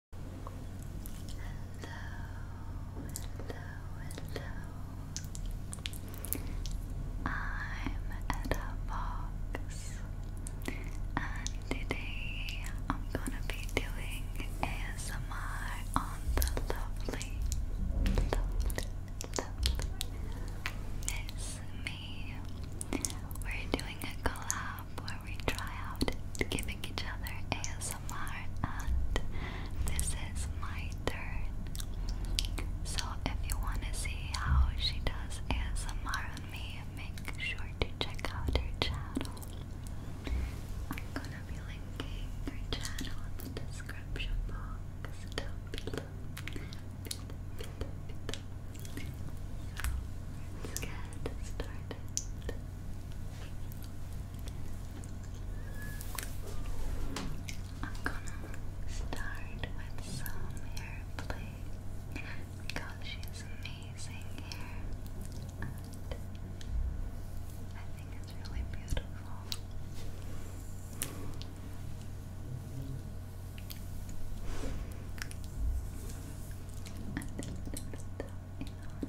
hello. I'm Etta Fox, and today I'm gonna be doing ASMR on the lovely Miss Me. We're doing a collab lab where we try out giving each other ASMR, and this is my turn. So, if you want to see how she does ASMR on me, make sure to check out her channel. I'm gonna be linking her channel in the description box So, let's get started. I'm gonna start with some hair play because she's amazing here I think it's really beautiful. And it's still, you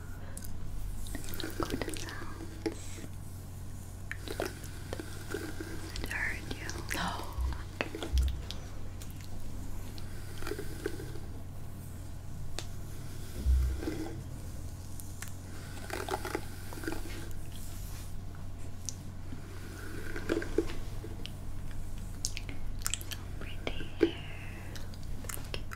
Good sounds. It hurt you? No. pretty Thank you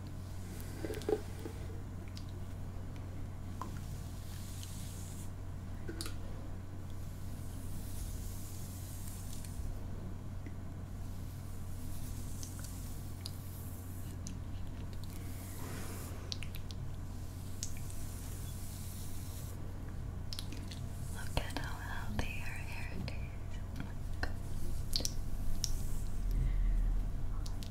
Look at how healthy her hair is.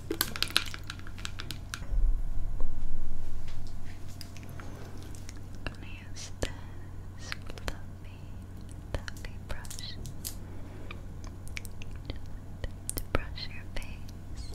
I'm gonna use this fluffy, fluffy brush to brush your face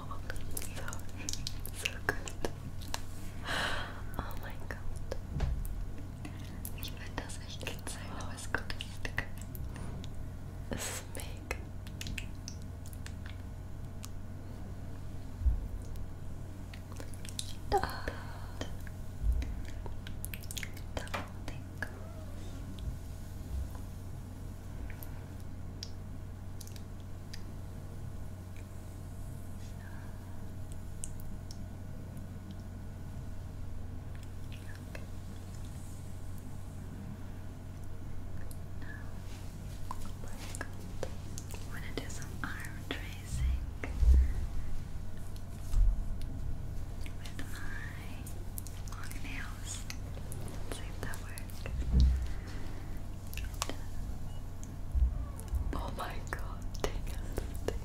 Oh, so, so good. Oh mein Gott. Ich will das echt gezeigt, aber es kommt I'm going to do some arm tracing with my long nails. see if that works. Oh my god, dang it, dang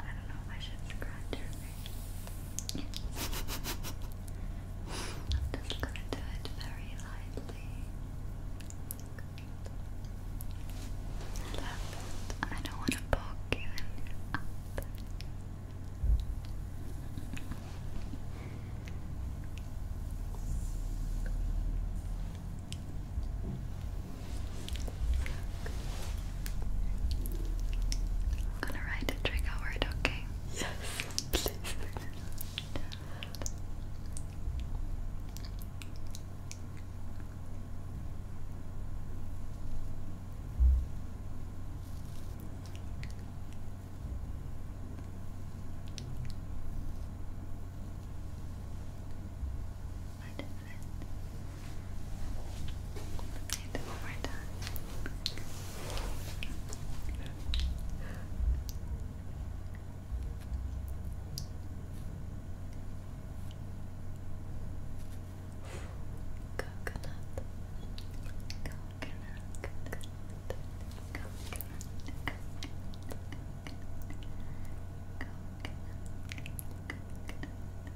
I don't know if I should scratch her face. I'm just gonna do it very lightly. I don't want to poke you in up. Good. I'm gonna write a trigger word, okay? Yes, please. Let's do it one more time. Coconut, coconut, coconut, coconut, coconut, coconut, coconut, coconut, coconut,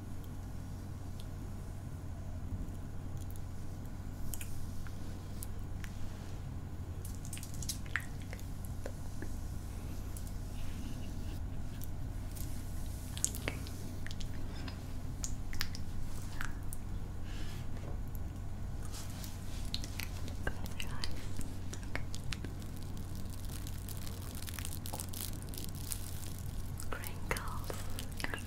Crinkles, crinkles,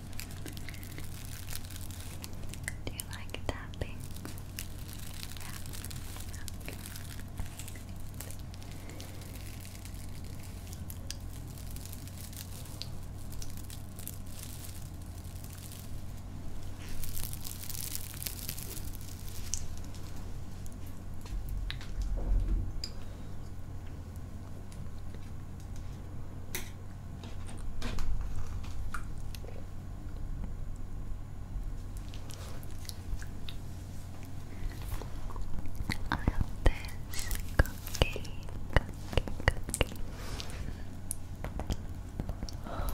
Do you like tapping? Yeah. Okay. I love this cookie, cookie, cookie. Love it.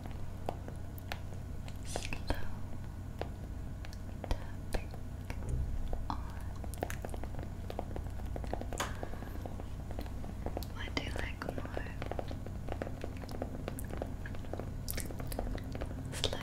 Slow tapping on. What do you like more? Slow, slow.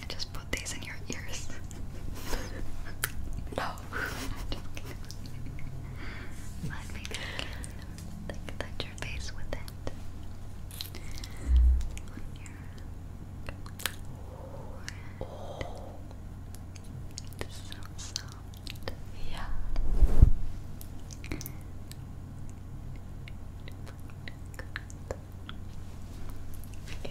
I just put these in your ears. no. Let me like, touch your face with it. oh. It's so soft. Yeah. Yeah.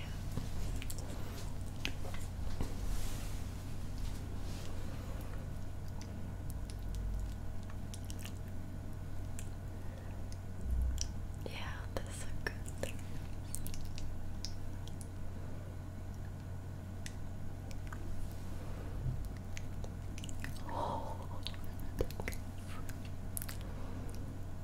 Yeah, that's so good. Oh,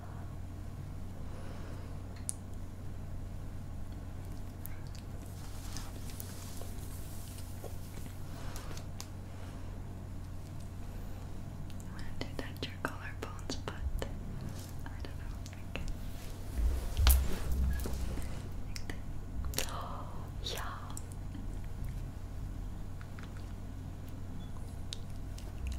I want to touch your collarbones, but I don't know. yeah.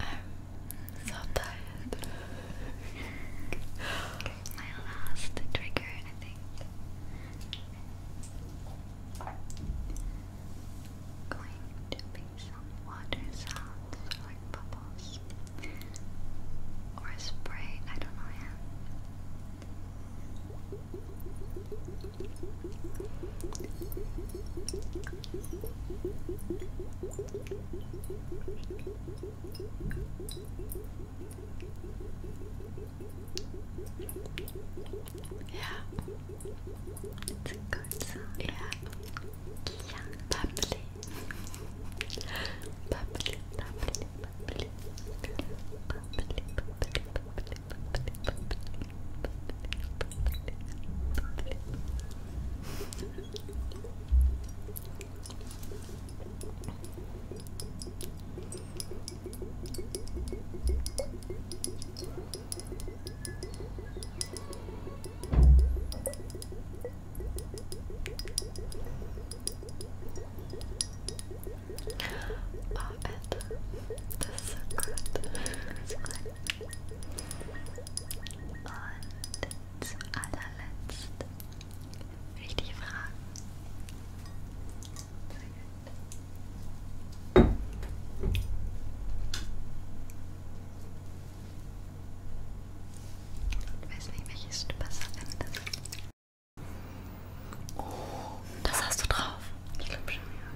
I'm so tired. my last trigger, I think. going to be some water sounds, like bubbles, or spray. I don't know yet it's a good sound. Yeah. Yeah, bubbly. bubbly, bubbly, bubbly, bubbly, bubbly, bubbly, bubbly, bubbly, bubbly. Oh, and so good. It's good. Und zu allerletzt richtige Fragen. Sehr gut. Ich weiß nicht, welches du besser findest. Oh, das hast du drauf. Ich glaube schon, ja.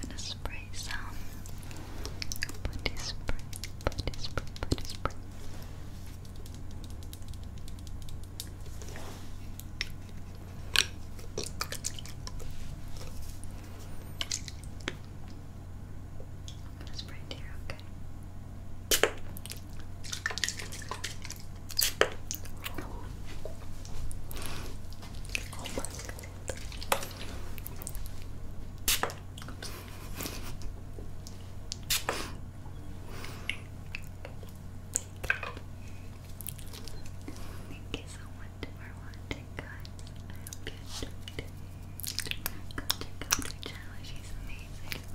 gonna spray some body spray, body spray, body spray. I'm gonna spray here, okay? Thank you so much for watching, I hope you enjoyed it. check out her channel, she's amazing.